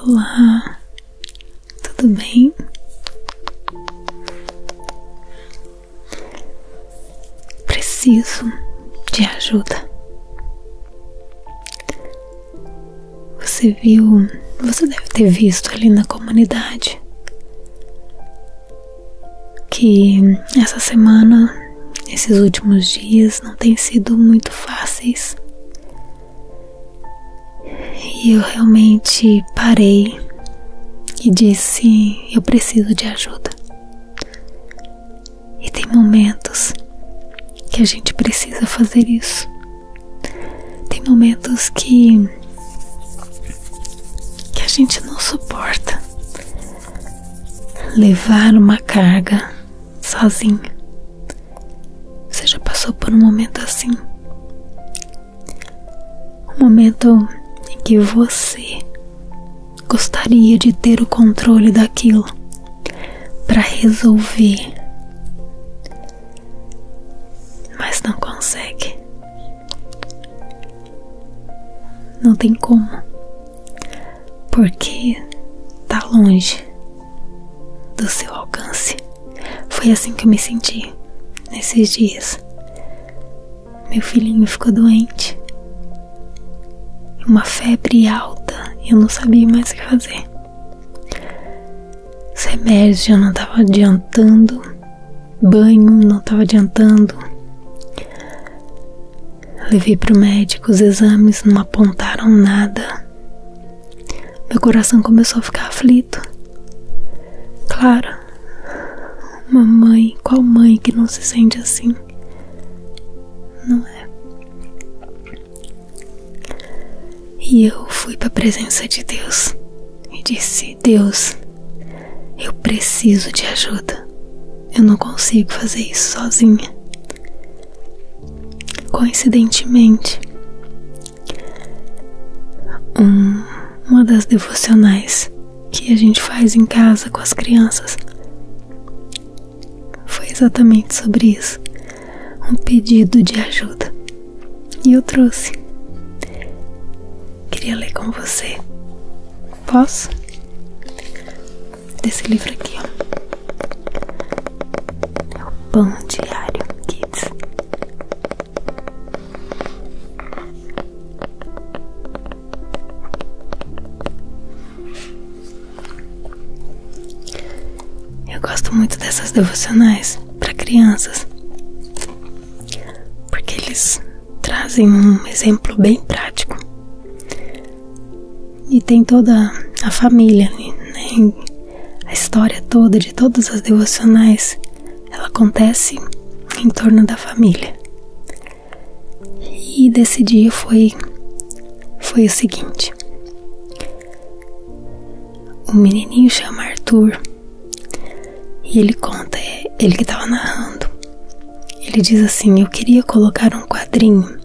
Olá, tudo bem? Preciso de ajuda. Você viu, você deve ter visto ali na comunidade que essa semana, esses últimos dias não têm sido muito fáceis. E eu realmente parei e disse: Eu preciso de ajuda. E tem momentos que a gente precisa fazer isso. Tem momentos que que a gente não suporta levar uma carga sozinha. Você já passou por um momento assim? Um momento em que você gostaria de ter o controle daquilo para resolver mas não consegue. Não tem como, porque tá longe do seu alcance. Foi assim que eu me senti nesses dias. Meu filhinho ficou doente, uma febre alta, e eu não sabia mais o que fazer. Os não estavam adiantando banho não estava adiantando. Levei para o médico, os exames não apontaram nada. Meu coração começou a ficar aflito. Claro, mamãe, qual mãe que não se sente assim? Não é? E eu fui para a presença de Deus e disse: Deus, eu preciso de ajuda. Eu não consigo fazer isso sozinha. Coincidentemente, uma das devocionais que a gente faz em casa com as crianças foi exatamente sobre isso um pedido de ajuda e eu trouxe. Queria ler com você. Posso? Desse livro aqui, ó. É o Pão Diário Kids. Eu gosto muito dessas devocionais para crianças porque eles trazem um exemplo bem prático e tem toda a família ali, né? a história toda de todas as devocionais ela acontece em torno da família e desse dia foi foi o seguinte o menininho chama Arthur e ele conta, é, ele que estava narrando. Ele diz assim: Eu queria colocar um quadrinho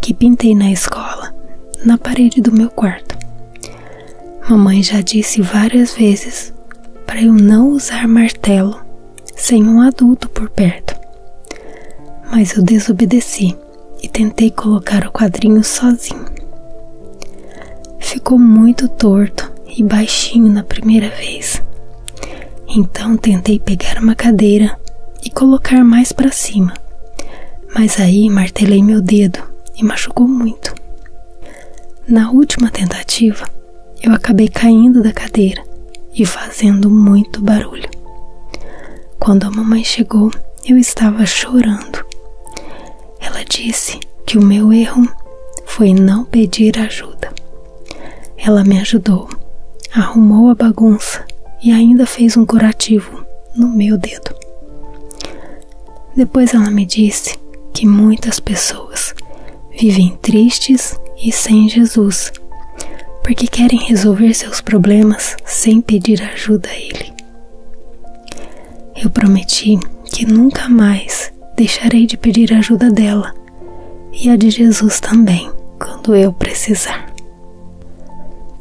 que pintei na escola na parede do meu quarto. Mamãe já disse várias vezes para eu não usar martelo sem um adulto por perto. Mas eu desobedeci e tentei colocar o quadrinho sozinho ficou muito torto e baixinho na primeira vez. Então tentei pegar uma cadeira e colocar mais para cima, mas aí martelei meu dedo e machucou muito. Na última tentativa, eu acabei caindo da cadeira e fazendo muito barulho. Quando a mamãe chegou, eu estava chorando. Ela disse que o meu erro foi não pedir ajuda. Ela me ajudou, arrumou a bagunça e ainda fez um curativo no meu dedo. Depois ela me disse que muitas pessoas vivem tristes e sem Jesus, porque querem resolver seus problemas sem pedir ajuda a Ele. Eu prometi que nunca mais deixarei de pedir ajuda dela e a de Jesus também, quando eu precisar.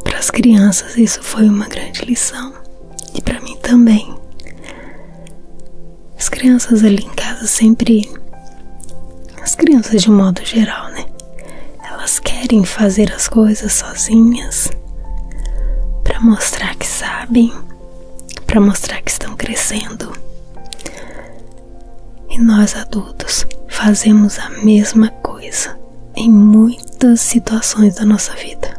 Para as crianças, isso foi uma grande lição e para mim também. As crianças ali em casa sempre. As crianças de modo geral, né? Elas querem fazer as coisas sozinhas para mostrar que sabem para mostrar que estão crescendo. E nós adultos fazemos a mesma coisa em muitas situações da nossa vida.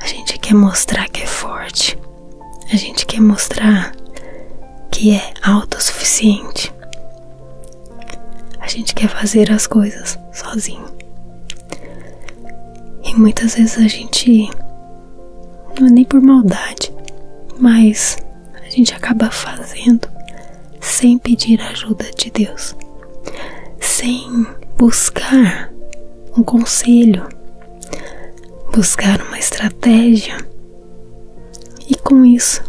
A gente quer mostrar que é forte, a gente quer mostrar que é autossuficiente. A gente quer fazer as coisas sozinho. E muitas vezes a gente não é nem por maldade, mas a gente acaba fazendo sem pedir ajuda de Deus, sem buscar um conselho, buscar uma estratégia. E com isso,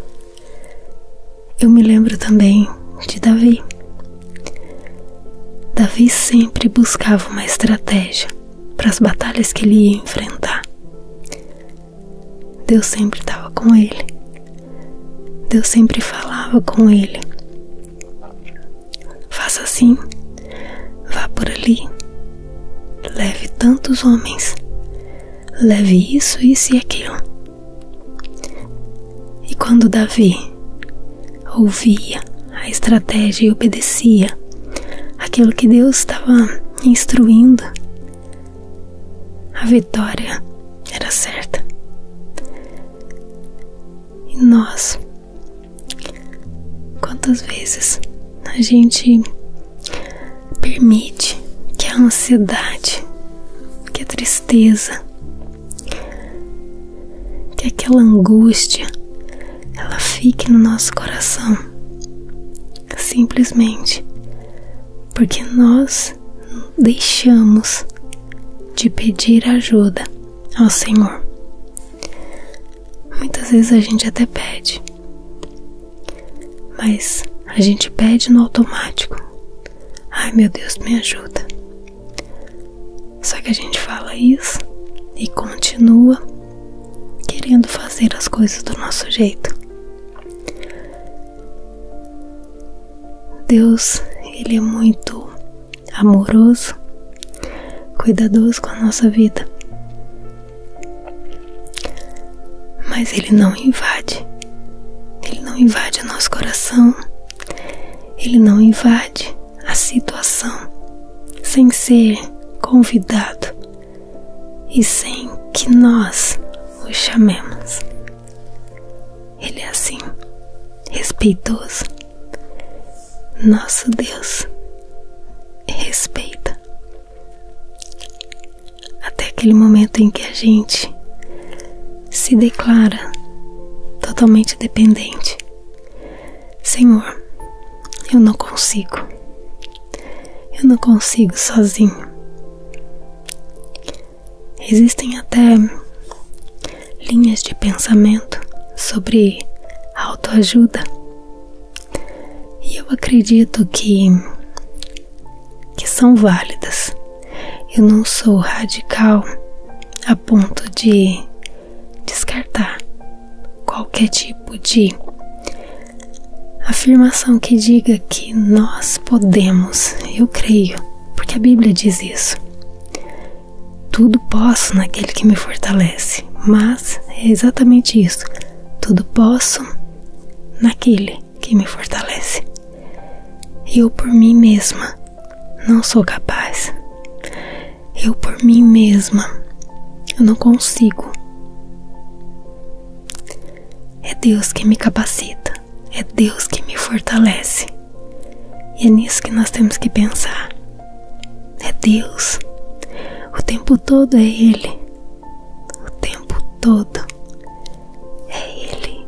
eu me lembro também de Davi, Davi sempre buscava uma estratégia para as batalhas que ele ia enfrentar. Deus sempre estava com ele. Deus sempre falava com ele. Faça assim, vá por ali, leve tantos homens, leve isso, isso e aquilo. E quando Davi ouvia a estratégia e obedecia aquilo que Deus estava instruindo, a vitória era certa. E nós, quantas vezes a gente permite que a ansiedade, que a tristeza, que aquela angústia ela fique no nosso coração, simplesmente porque nós deixamos de pedir ajuda ao Senhor. Muitas vezes a gente até pede, mas a gente pede no automático. Ai meu Deus, me ajuda, só que a gente fala isso e continua querendo fazer as coisas do nosso jeito. Deus, ele é muito amoroso, cuidadoso com a nossa vida. Mas ele não invade. Ele não invade o nosso coração. Ele não invade a situação sem ser convidado e sem que nós o chamemos. Ele é assim, respeitoso. Nosso Deus respeita. Até aquele momento em que a gente se declara totalmente dependente Senhor, eu não consigo. Eu não consigo sozinho. Existem até linhas de pensamento sobre autoajuda. E eu acredito que que são válidas. Eu não sou radical a ponto de descartar qualquer tipo de afirmação que diga que nós podemos, eu creio, porque a Bíblia diz isso. Tudo posso naquele que me fortalece, mas é exatamente isso. Tudo posso naquele que me fortalece. Eu por mim mesma não sou capaz. Eu por mim mesma, eu não consigo. É Deus que me capacita, é Deus que me fortalece. E é nisso que nós temos que pensar. É Deus. O tempo todo é Ele. O tempo todo é Ele.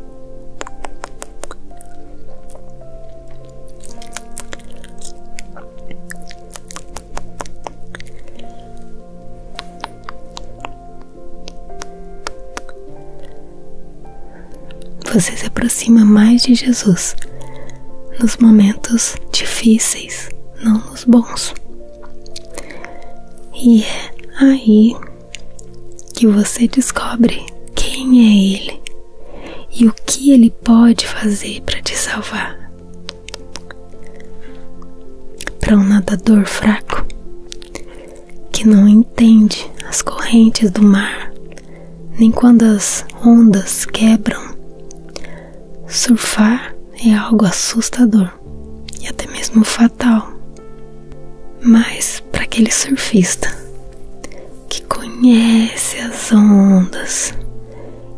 Você se aproxima mais de Jesus nos momentos difíceis, não nos bons. E é aí que você descobre quem é Ele e o que ele pode fazer para te salvar. Para um nadador fraco que não entende as correntes do mar, nem quando as ondas quebram, surfar é algo assustador e até mesmo fatal. Mas para aquele surfista que conhece as ondas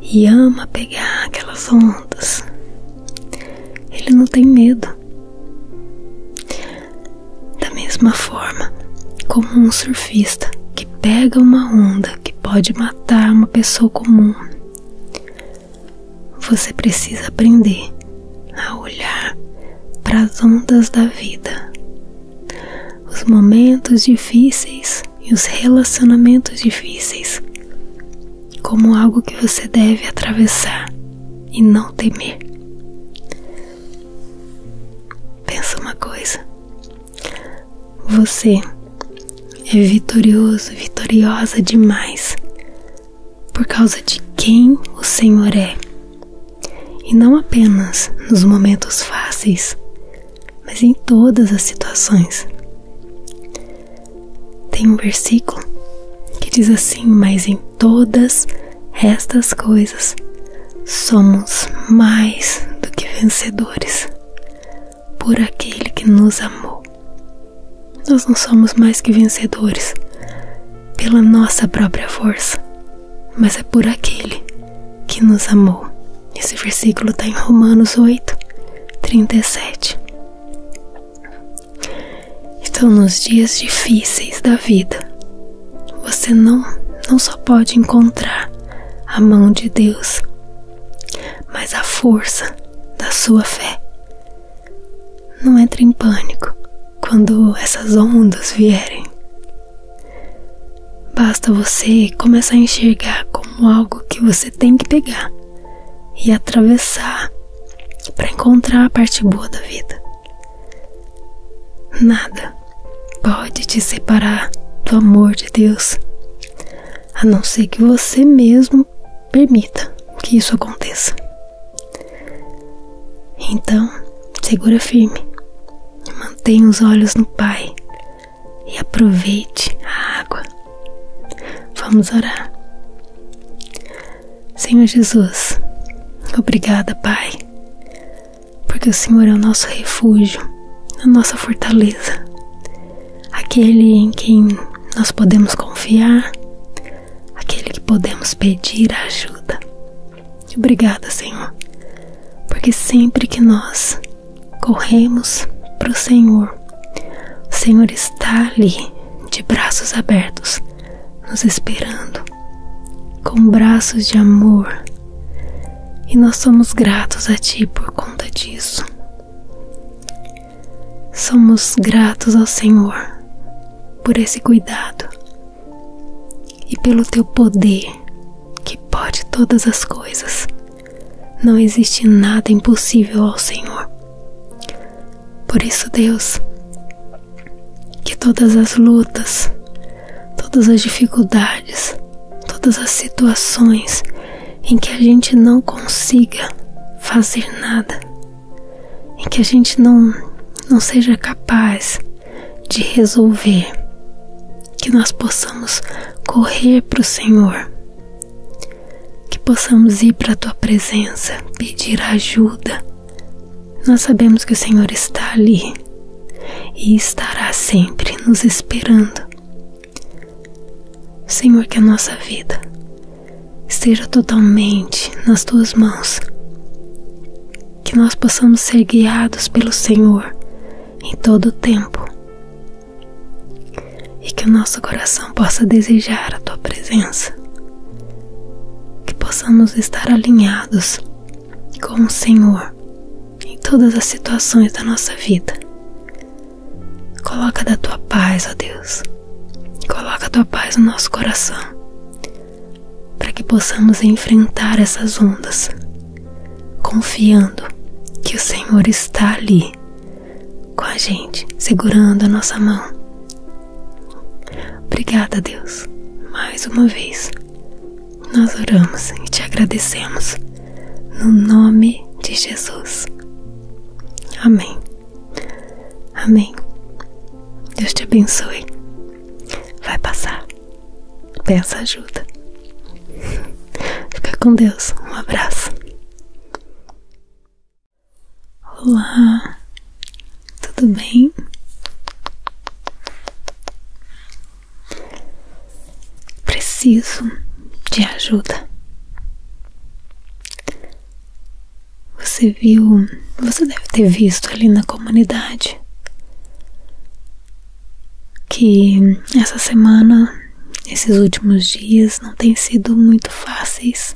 e ama pegar aquelas ondas. Ele não tem medo. Da mesma forma, como um surfista que pega uma onda que pode matar uma pessoa comum, você precisa aprender a olhar para as ondas da vida, os momentos difíceis e os relacionamentos difíceis como algo que você deve atravessar e não temer. Pensa uma coisa: você é vitorioso, vitoriosa demais por causa de quem o Senhor é. E não apenas nos momentos fáceis, mas em todas as situações. Tem um versículo que diz assim: Mas em todas estas coisas somos mais do que vencedores por aquele que nos amou. Nós não somos mais que vencedores pela nossa própria força, mas é por aquele que nos amou. Esse versículo está em Romanos 8, 37. Então, nos dias difíceis da vida, você não, não só pode encontrar a mão de Deus, mas a força da sua fé. Não entre em pânico quando essas ondas vierem. Basta você começar a enxergar como algo que você tem que pegar e atravessar para encontrar a parte boa da vida. Nada pode te separar do amor de Deus, a não ser que você mesmo permita que isso aconteça. Então, segura firme, mantenha os olhos no Pai, e aproveite a água. Vamos orar. Senhor Jesus, obrigada, Pai, porque o Senhor é o nosso refúgio, a nossa fortaleza, aquele em quem nós podemos confiar, aquele que podemos pedir ajuda. Obrigada, Senhor, porque sempre que nós corremos para o Senhor. O Senhor está ali, de braços abertos, nos esperando, com braços de amor. E nós somos gratos a Ti por conta disso. Somos gratos ao Senhor por esse cuidado e pelo Teu poder que pode todas as coisas não existe nada impossível ao Senhor. Por isso, Deus, que todas as lutas, todas as dificuldades, todas as situações em que a gente não consiga fazer nada, em que a gente não, não seja capaz de resolver, que nós possamos correr para o Senhor que possamos ir para a tua presença, pedir ajuda. Nós sabemos que o Senhor está ali e estará sempre nos esperando. Senhor, que a nossa vida esteja totalmente nas tuas mãos. Que nós possamos ser guiados pelo Senhor em todo o tempo e que o nosso coração possa desejar a tua presença, que possamos estar alinhados com o Senhor em todas as situações da nossa vida. Coloca da tua paz, ó Deus, coloca a tua paz no nosso coração, para que possamos enfrentar essas ondas, confiando que o Senhor está ali com a gente, segurando a nossa mão. Obrigada, Deus, mais uma vez. Nós oramos e te agradecemos no nome de Jesus. Amém. Amém. Deus te abençoe. Vai passar. Peça ajuda. Fica com Deus. Um abraço. Olá, tudo bem? Preciso de ajuda. Você viu, você deve ter visto ali na comunidade que essa semana esses últimos dias não têm sido muito fáceis.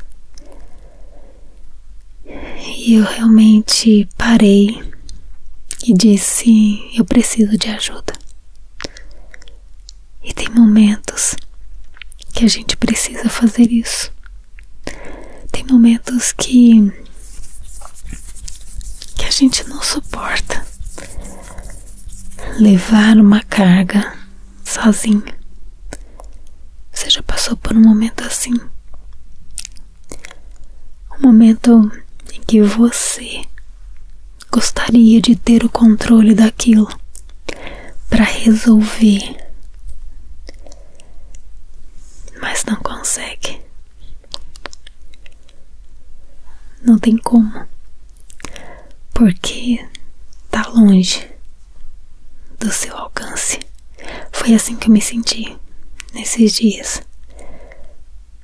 E eu realmente parei e disse: Eu preciso de ajuda. E tem momentos que a gente precisa fazer isso. Tem momentos que que a gente não suporta levar uma carga sozinho. Você já passou por um momento assim? Um momento em que você gostaria de ter o controle daquilo para resolver, mas não consegue. Não tem como porque tá longe do seu alcance. Foi assim que eu me senti nesses dias.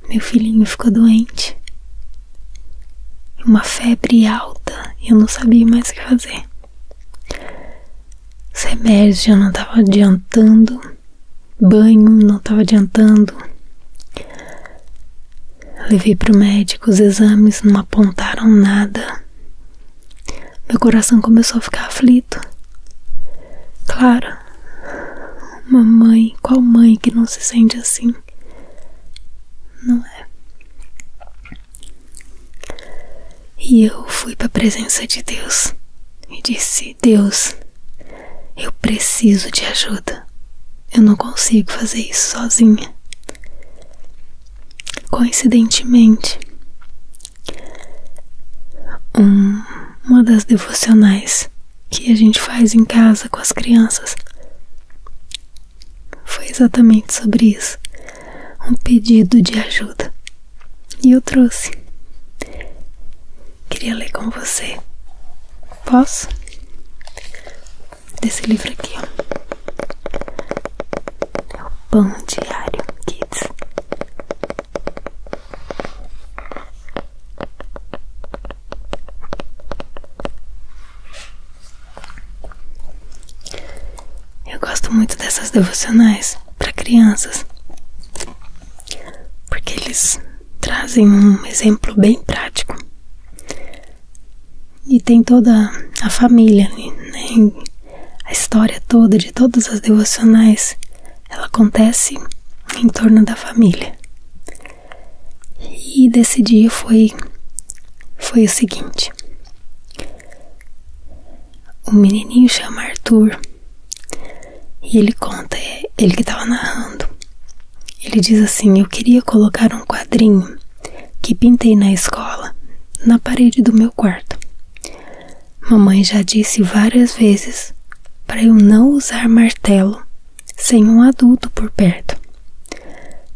Meu filhinho ficou doente, uma febre alta e eu não sabia mais o que fazer. Os não estavam adiantando, banho não estava adiantando. Levei para o médico, os exames não apontaram nada. Meu coração começou a ficar aflito. Claro, mamãe, qual mãe que não se sente assim? Não é? E eu fui para a presença de Deus e disse: Deus, eu preciso de ajuda. Eu não consigo fazer isso sozinha. Coincidentemente, uma das devocionais que a gente faz em casa com as crianças foi exatamente sobre isso um pedido de ajuda. E eu trouxe. Queria ler com você. Posso? desse livro aqui, ó. É o Pão Diário Kids. Eu gosto muito dessas devocionais para crianças, porque eles trazem um exemplo bem prático e tem toda a família ali, né? A história toda de todas as devocionais, ela acontece em torno da família. E desse dia foi foi o seguinte. O menininho chama Arthur e ele conta, ele que estava narrando. Ele diz assim: Eu queria colocar um quadrinho que pintei na escola na parede do meu quarto. Mamãe já disse várias vezes para eu não usar martelo sem um adulto por perto.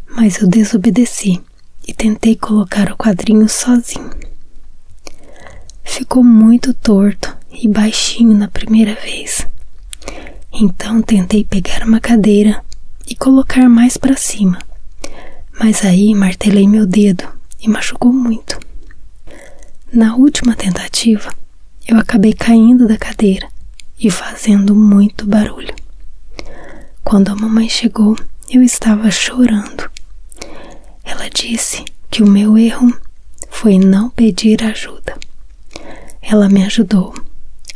Mas eu desobedeci e tentei colocar o quadrinho sozinho. Ficou muito torto e baixinho na primeira vez, então tentei pegar uma cadeira e colocar mais para cima, mas aí martelei meu dedo e machucou muito. Na última tentativa, eu acabei caindo da cadeira e fazendo muito barulho. Quando a mamãe chegou, eu estava chorando. Ela disse que o meu erro foi não pedir ajuda. Ela me ajudou,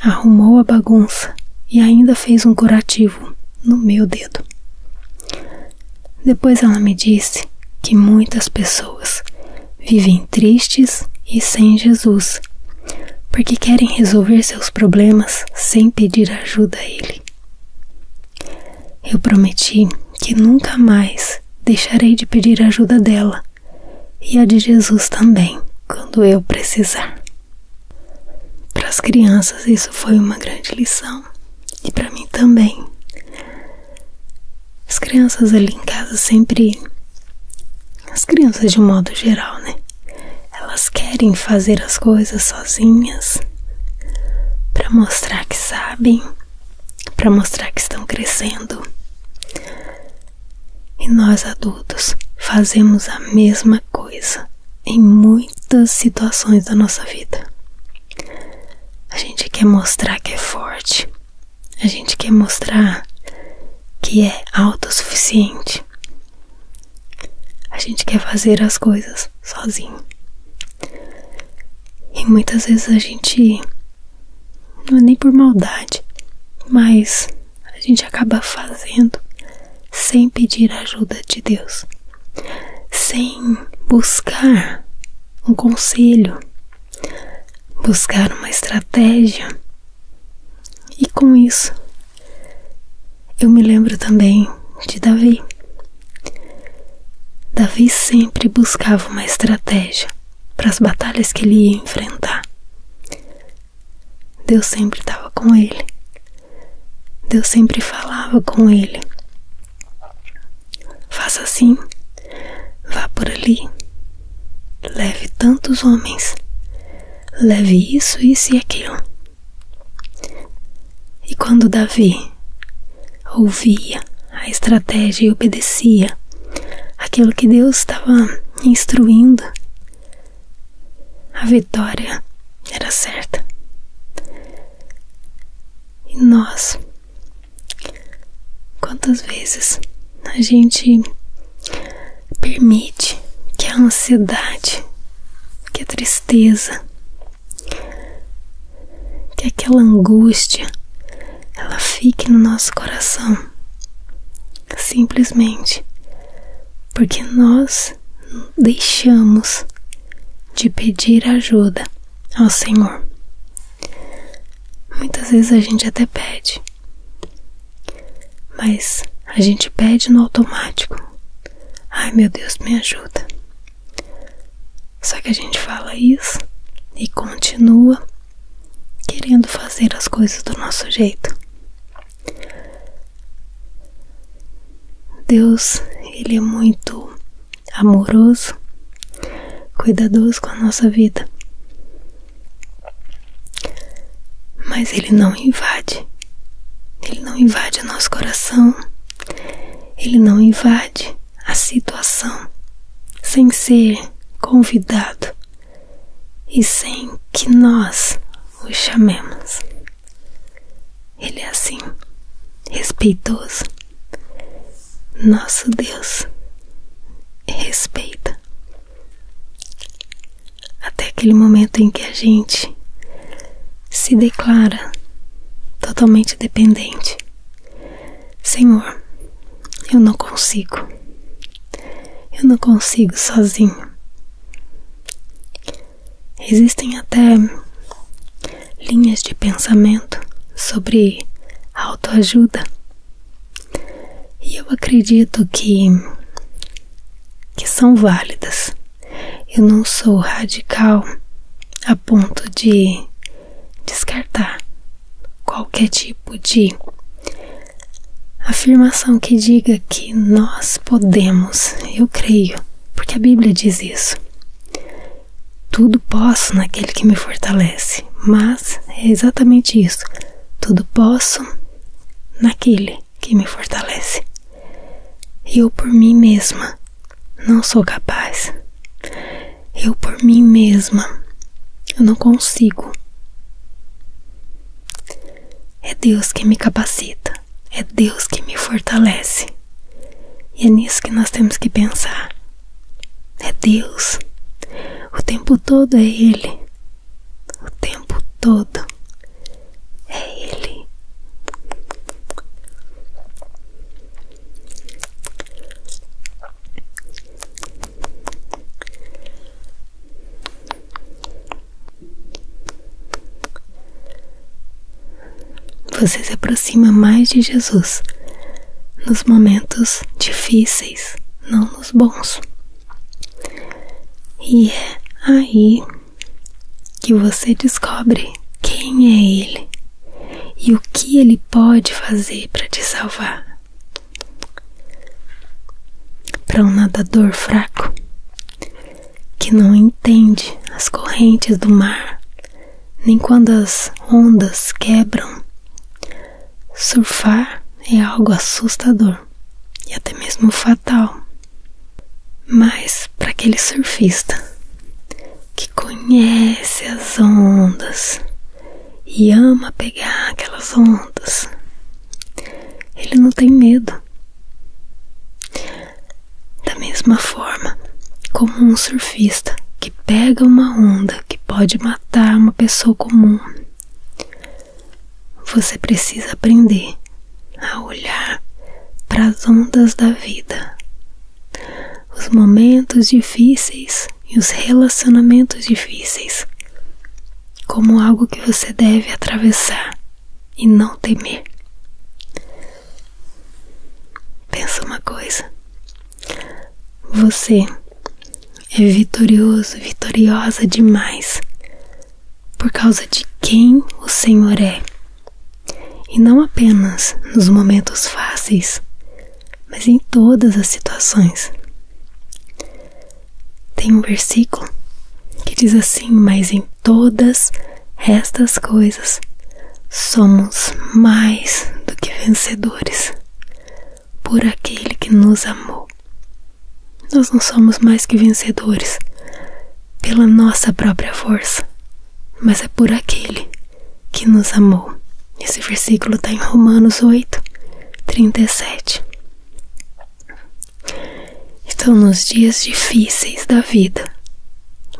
arrumou a bagunça e ainda fez um curativo no meu dedo. Depois ela me disse que muitas pessoas vivem tristes e sem Jesus, porque querem resolver seus problemas sem pedir ajuda a Ele. Eu prometi que nunca mais deixarei de pedir ajuda dela e a de Jesus também, quando eu precisar. Para as crianças, isso foi uma grande lição e para mim também. As crianças ali em casa sempre. As crianças de modo geral, né? Elas querem fazer as coisas sozinhas para mostrar que sabem, para mostrar que estão crescendo. E nós adultos fazemos a mesma coisa em muitas situações da nossa vida. A gente quer mostrar que é forte, a gente quer mostrar que é autossuficiente, a gente quer fazer as coisas sozinho. E muitas vezes a gente, não é nem por maldade, mas a gente acaba fazendo sem pedir ajuda de Deus, sem buscar um conselho, buscar uma estratégia. E com isso, eu me lembro também de Davi. Davi sempre buscava uma estratégia para as batalhas que ele ia enfrentar. Deus sempre estava com ele. Deus sempre falava com ele. Faça assim, vá por ali, leve tantos homens, leve isso, isso e aquilo. E quando Davi ouvia a estratégia e obedecia aquilo que Deus estava instruindo, a vitória era certa. E nós, quantas vezes a gente permite que a ansiedade, que a tristeza, que aquela angústia ela fique no nosso coração, simplesmente porque nós deixamos de pedir ajuda ao Senhor. Muitas vezes a gente até pede, mas a gente pede no automático. Ai meu Deus, me ajuda. Só que a gente fala isso e continua querendo fazer as coisas do nosso jeito. Deus, ele é muito amoroso, cuidadoso com a nossa vida. Mas ele não invade. Ele não invade o nosso coração. Ele não invade a situação sem ser convidado e sem que nós o chamemos. Ele é assim, respeitoso. Nosso Deus respeita. Até aquele momento em que a gente se declara totalmente dependente. Senhor, eu não consigo. Eu não consigo sozinho. Existem até linhas de pensamento sobre autoajuda. E eu acredito que que são válidas. Eu não sou radical a ponto de descartar qualquer tipo de afirmação que diga que nós podemos, eu creio, porque a Bíblia diz isso. Tudo posso naquele que me fortalece, mas é exatamente isso. Tudo posso naquele que me fortalece. Eu por mim mesma não sou capaz. Eu por mim mesma não consigo. É Deus que me capacita, é Deus que me fortalece. E é nisso que nós temos que pensar. É Deus. O tempo todo é Ele. O tempo todo é Ele. Você se aproxima mais de Jesus nos momentos difíceis, não nos bons. E é aí que você descobre quem é Ele e o que Ele pode fazer para te salvar. Para um nadador fraco, que não entende as correntes do mar, nem quando as ondas quebram. Surfar é algo assustador e até mesmo fatal. Mas para aquele surfista que conhece as ondas e ama pegar aquelas ondas, ele não tem medo da mesma forma, como um surfista que pega uma onda que pode matar uma pessoa comum, você precisa aprender a olhar para as ondas da vida, os momentos difíceis e os relacionamentos difíceis, como algo que você deve atravessar e não temer. Pensa uma coisa: você é vitorioso, vitoriosa demais por causa de quem o Senhor é. E não apenas nos momentos fáceis, mas em todas as situações tem um versículo que diz assim: Mas em todas estas coisas somos mais do que vencedores por aquele que nos amou. Nós não somos mais que vencedores pela nossa própria força, mas é por aquele que nos amou. Esse versículo está em Romanos 8, 37. Estão nos dias difíceis da vida,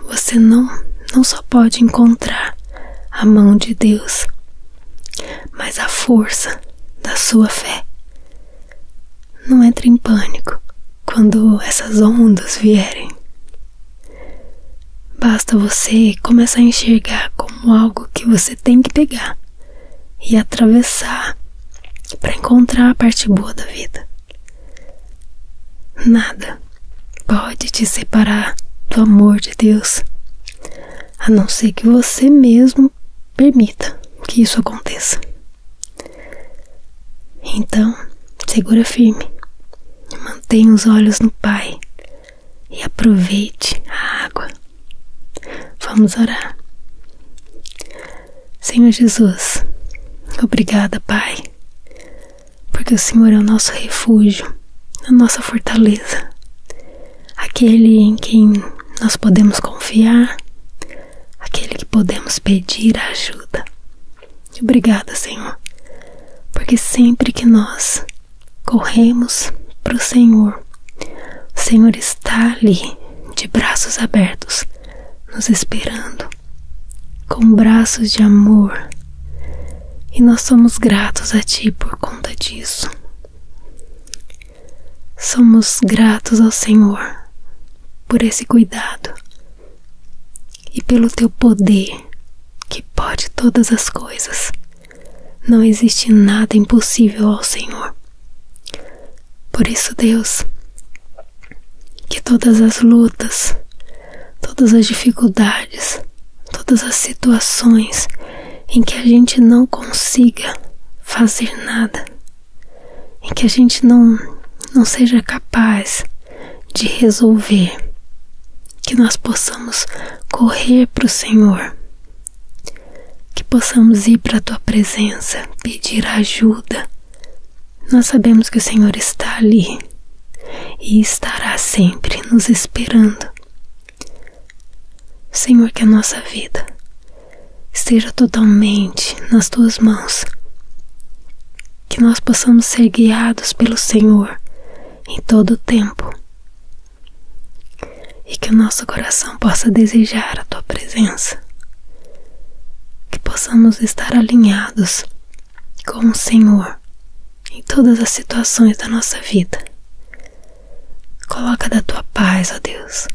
você não, não só pode encontrar a mão de Deus, mas a força da sua fé. Não entre em pânico quando essas ondas vierem. Basta você começar a enxergar como algo que você tem que pegar e atravessar para encontrar a parte boa da vida. Nada pode te separar do amor de Deus, a não ser que você mesmo permita que isso aconteça. Então, segura firme, mantenha os olhos no Pai e aproveite a água. Vamos orar. Senhor Jesus, obrigada, Pai, porque o Senhor é o nosso refúgio, a nossa fortaleza, aquele em quem nós podemos confiar, aquele que podemos pedir ajuda. Obrigada, Senhor, porque sempre que nós corremos para o Senhor, o Senhor está ali de braços abertos nos esperando com braços de amor. E nós somos gratos a Ti por conta disso. Somos gratos ao Senhor por esse cuidado e pelo Teu poder que pode todas as coisas. Não existe nada impossível ao Senhor. Por isso, Deus, que todas as lutas, todas as dificuldades, todas as situações em que a gente não consiga fazer nada, em que a gente não, não seja capaz de resolver, que nós possamos correr para o Senhor, que possamos ir para a tua presença, pedir ajuda, nós sabemos que o Senhor está ali e estará sempre nos esperando. Senhor, que a nossa vida esteja totalmente nas tuas mãos. Que nós possamos ser guiados pelo Senhor em todo o tempo. E que o nosso coração possa desejar a tua presença que possamos estar alinhados com o Senhor em todas as situações da nossa vida. Coloca da tua paz, ó Deus.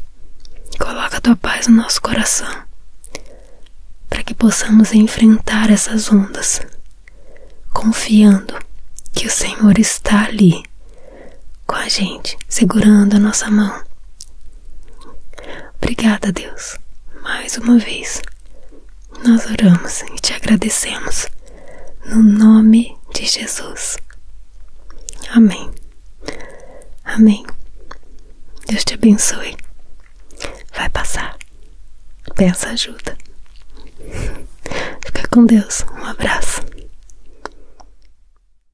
Coloca a tua paz no nosso coração, para que possamos enfrentar essas ondas, confiando que o Senhor está ali com a gente, segurando a nossa mão, Obrigada, Deus, mais uma vez. Nós oramos e te agradecemos. No nome de Jesus. Amém. Amém. Deus te abençoe. Vai passar. Peça ajuda. Fica com Deus. Um abraço.